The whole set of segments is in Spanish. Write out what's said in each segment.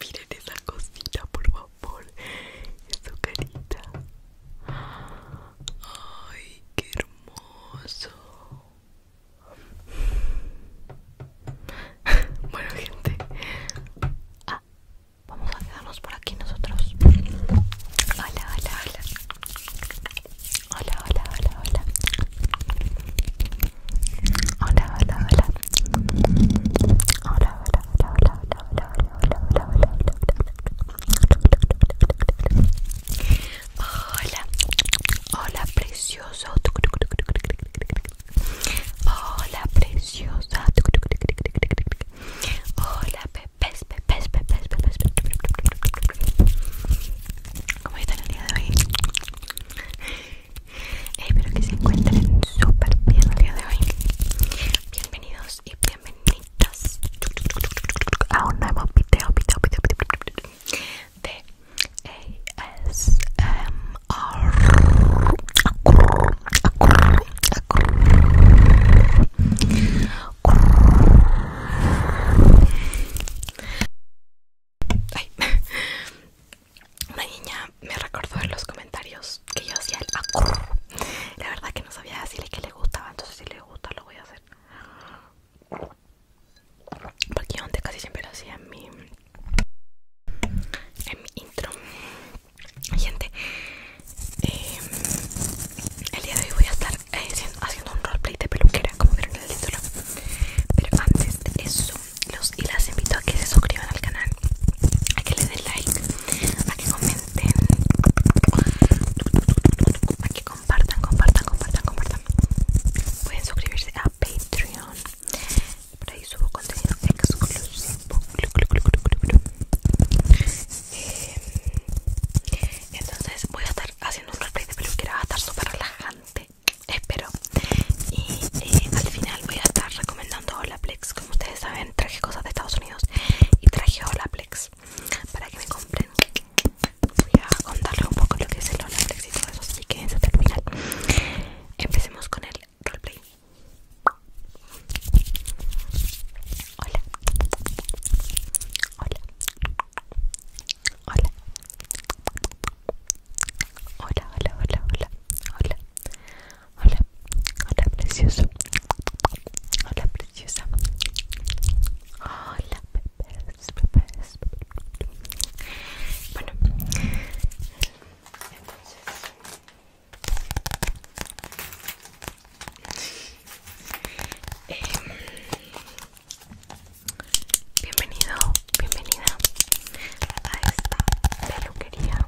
Miren esa cosita, por favor. Su carita. Ay, qué hermoso. Bueno, gente. Ah, vamos a quedarnos por aquí nosotros. Hola, hola, hola. Hola, hola, hola, hola. Hola, hola, hola. Hola, hola, hola, hola, hola, hola, hola, hola, hola, hola. Hola, precioso. Hola, preciosa. Hola, pepes, pepes, pepes, pepes. ¿Cómo están el día de hoy? Espero que se encuentren súper bien el día de hoy. Bienvenidos y bienvenidas a un nuevo video, video, video, video, video de ASMR. Una niña me recordó en los comentarios que yo hacía el acurr. La verdad que no sabía decirle que le gustaba, entonces si le gusta lo voy a hacer. Porque yo antes casi siempre lo hacía en mi, en mi intro. Gente, eh, el día de hoy voy a estar eh, haciendo, un roleplay de peluquera, como vieron en el título. Pero antes de eso los, y las invito a que se suscriban al canal a que le den like a que comenten a que compartan compartan compartan compartan pueden suscribirse a patreon por ahí subo contenido exclusivo em, entonces voy a estar haciendo un replay de peluquera va a estar súper relajante espero y eh, al final voy a estar recomendando Olaplex como ustedes saben traje cosas de Estados Unidos y traje Olaplex para que me compren voy a contarles un poco lo que es el Olaplex y todo eso así que en el final empecemos con el roleplay hola hola Hola. Hola, hola, hola, hola. Hola. Hola. precioso. Hola, preciosa. Hola, bebés, Bueno. Em, Bienvenido, bienvenida a esta peluquería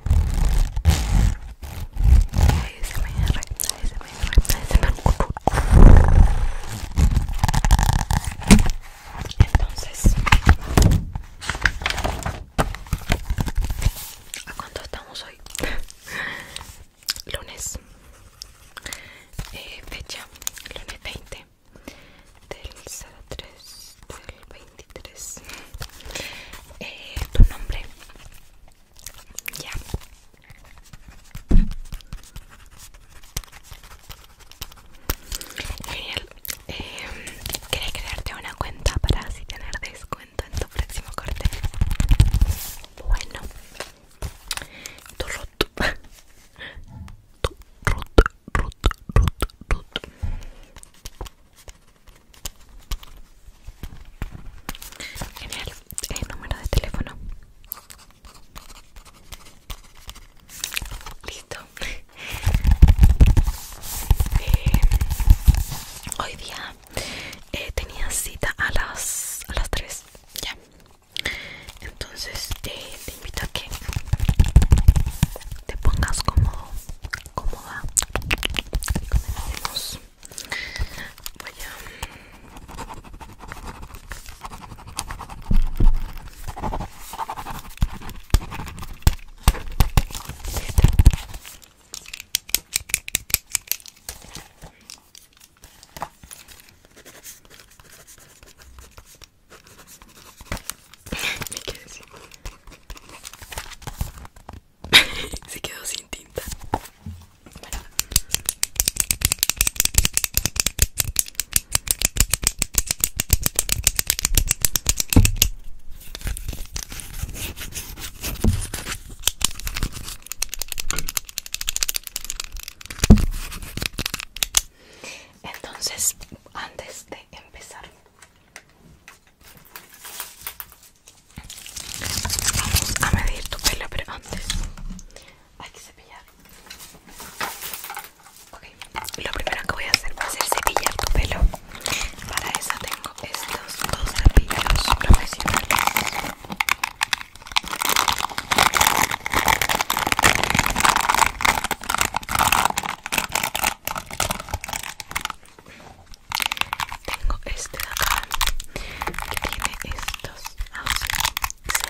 Entonces ¿A cuánto estamos hoy? Lunes eh, Fecha, lunes 20 del 03 del 23 eh, tu nombre ya genial em, quería crearte una cuenta para así tener descuento en tu próximo corte bueno tu rut Genial, el número de teléfono. Listo. Eh, hoy día eh, tenía cita a las, a las 3. Ya entonces te invito a que te pongas cómodo cómoda y comencemos voy a me quedé sin... Se quedó sin tinta. Bueno. Entonces, antes de empezar, vamos a medir tu pelo, pero antes hay que cepillar. Okay. Lo primero que voy a hacer va a ser cepillar tu pelo. Para eso tengo estos dos cepillos profesionales. Tengo este de acá que tiene estos se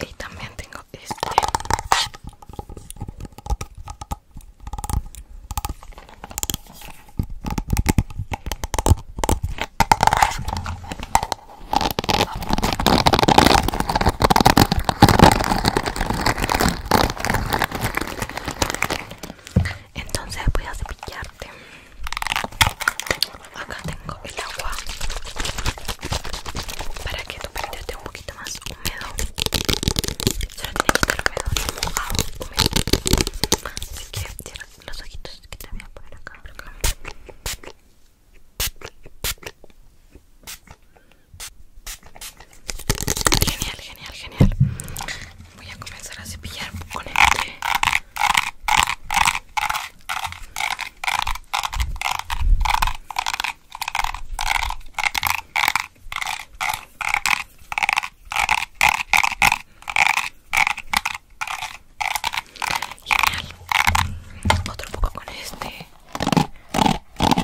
y también tengo este. Entonces voy a cepillarte. Acá tengo el agua para que tu pelo esté un poquito más húmedo. Solo tiene que estar húmedo, mojado, húmedo. Así que cierra los ojitos que te voy a poner acá. Genial, genial, genial. Voy a comenzar a cepillar con este Genial. Otro poco con este.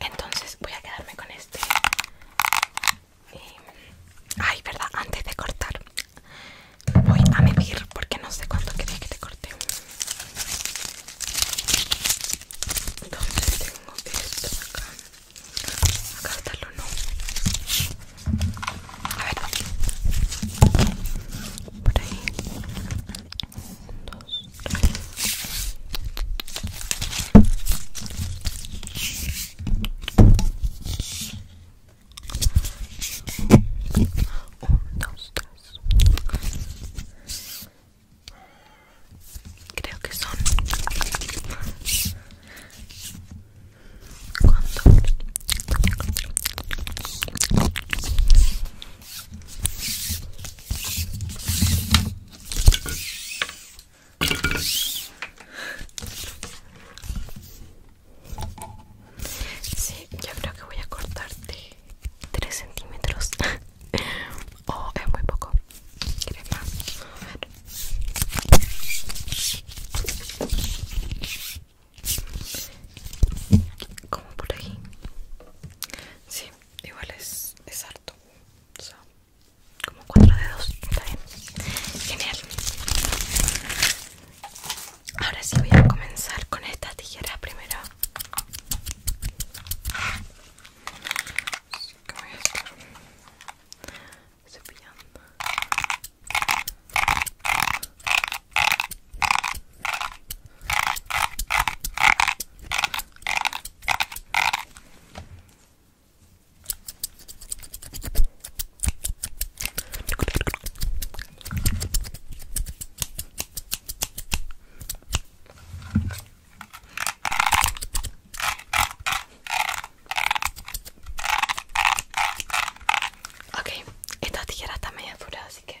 Entonces voy a quedarme con este. Y... Em, ay, verdad, antes de cortar voy a medir porque no sé cuánto quería que te corté. Entonces tengo esto acá. Acá está el uno. A ver. Por ahí. Dos. Un, dos, tres. Creo que son cuando Sí, yo creo que voy a cortarte 3 centímetros. o oh, es muy poco. ¿Quieres más? Como por aquí. Sí, igual es, es como cuatro dedos está genial ahora sí voy a comenzar con estas tijeras primero Así que voy Ok, esta tijera está medio furada, así que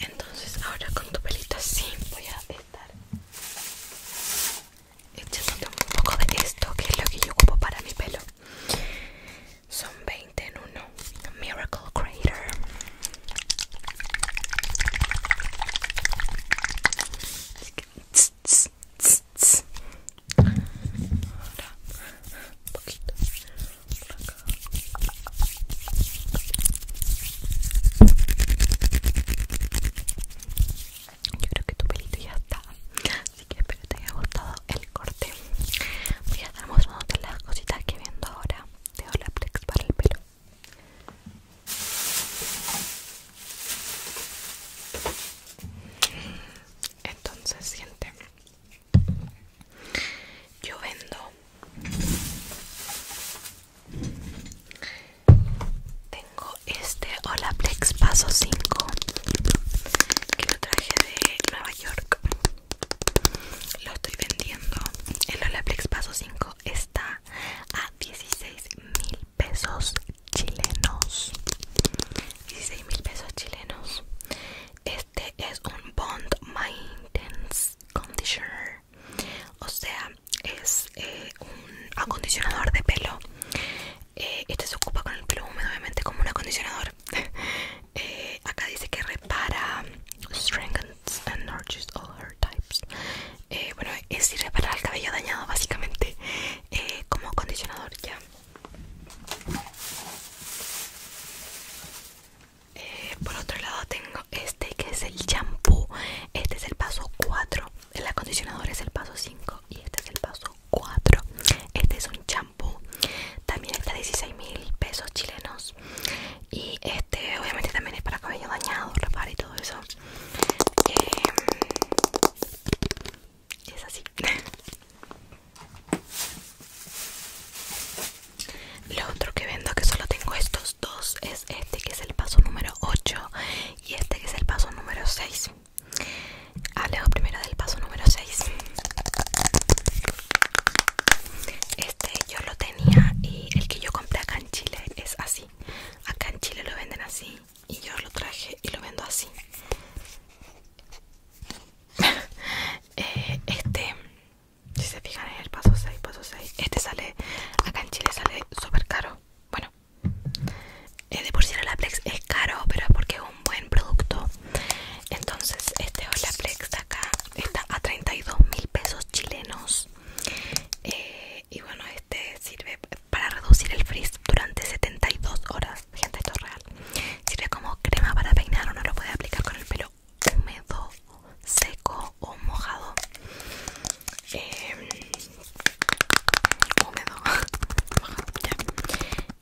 Entonces ahora con tu pelito así voy a estar echándote un poco de esto que es lo que yo ocupo para mi pelo. Son 20 en uno. Miracle Crater Así que, Ahora, un poquito. Yo creo que tu pelito ya está. Así que espero te haya gustado el corte. Voy a estar las cositas que viendo ahora de Olaplex para el pelo. Entonces siente yo vendo. Tengo este Olaplex Paso 5 que lo traje de Nueva York. Lo estoy vendiendo. El Olaplex Paso 5 está a 16 mil pesos chilenos. 16 mil pesos chilenos. Este es un Bond Maintenance Conditioner. O sea, es eh, un acondicionador de pelo. Eh, este se ocupa con el pelo húmedo, obviamente, como un acondicionador. Eh, acá dice que repara Strength and nourishes all hair types. bueno, es ir reparar el cabello dañado, básicamente, como acondicionador ya. Eh, por otro lado tengo este que es el champú. Este es el paso 4. El acondicionador es el paso 5 y este es el paso 4. Este es un champú. También está 16 mil pesos chilenos. Y este obviamente también es para cabello dañado, Repar y todo eso. Y em, es así. Lo otro que vendo que solo tengo estos dos es este que es el paso número 8 y este que es el paso número 6. Ah, Hablemos primero del paso número 6. Este yo lo tenía y el que yo compré acá en Chile es así. Acá en Chile lo venden así y yo lo traje y lo vendo así. este, si se fijan en el paso 6, paso 6, este sale, acá en Chile sale super caro. Bueno, eh, de por sí el Olaplex es caro, pero es porque es un buen producto. Entonces, este Olaplex de acá está a 32 mil pesos chilenos. Eh, y bueno, este sirve para reducir el frizz durante 72 horas. Gente, esto es real Sirve como crema para peinar Uno lo puede aplicar con el pelo húmedo, seco o mojado em, Húmedo mojado,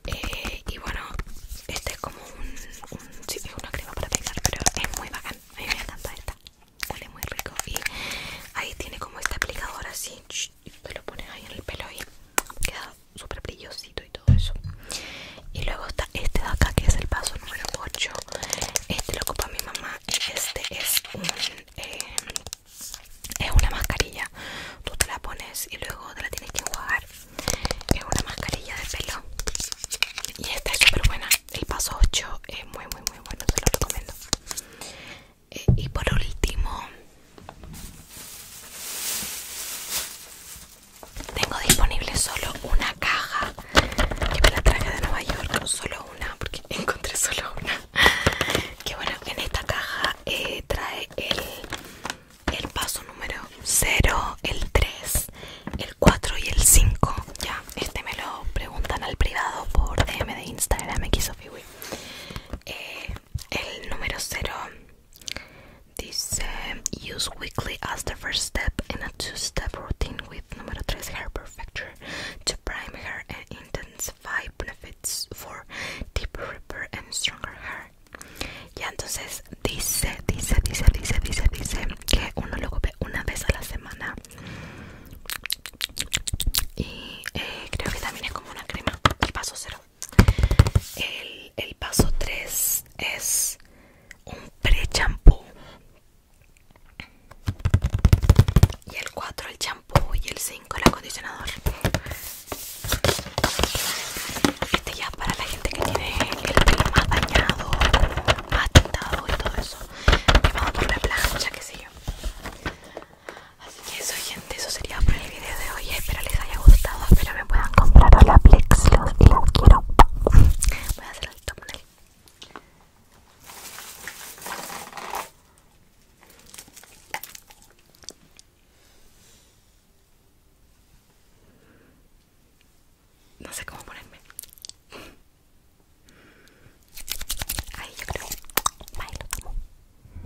eh, Y bueno, este es como un, una crema para peinar Pero es muy bacán, me encanta esta Huele muy rico y ahí tiene como este aplicador así y lo pones ahí en el pelo y queda súper brillosito y todo eso y luego está este de acá que es el paso número 8 este lo ocupa mi mamá este es un eh, es una mascarilla tú te la pones y luego te la tienes que enjuagar es una mascarilla de pelo y esta es súper buena el paso 8 es muy muy muy bueno se lo recomiendo eh, y por último tengo disponible solo una caja que me la traje de Nueva York, solo una, porque encontré solo una. Que bueno, en esta caja eh, trae el, el paso número 0, el 3, el 4 y el 5. Ya, este me lo preguntan al privado por DM de Instagram, XOFIWI. Eh, el número 0 This um, use weekly as the first step in a two-step routine with number 3 hair perfecture to prime hair and intensify benefits for deeper, repair and stronger hair. Y entonces dice, dice, dice, dice, dice, dice que uno lo ve una vez a la semana. Y eh, creo que también es como una crema. Y paso cero. El, paso 3 es un pre-champú. Y el 4 el champú y el 5 el acondicionador. Este ya para la gente que tiene el pelo más dañado, más tintado y todo eso. a por la plancha, qué sé yo. Así que eso gente, eso sería por el video de hoy Espero les haya gustado, espero me puedan comprar a la Plex Los, quiero Voy a hacer el thumbnail No sé cómo ponerme Ahí yo creo Bye, lo tomo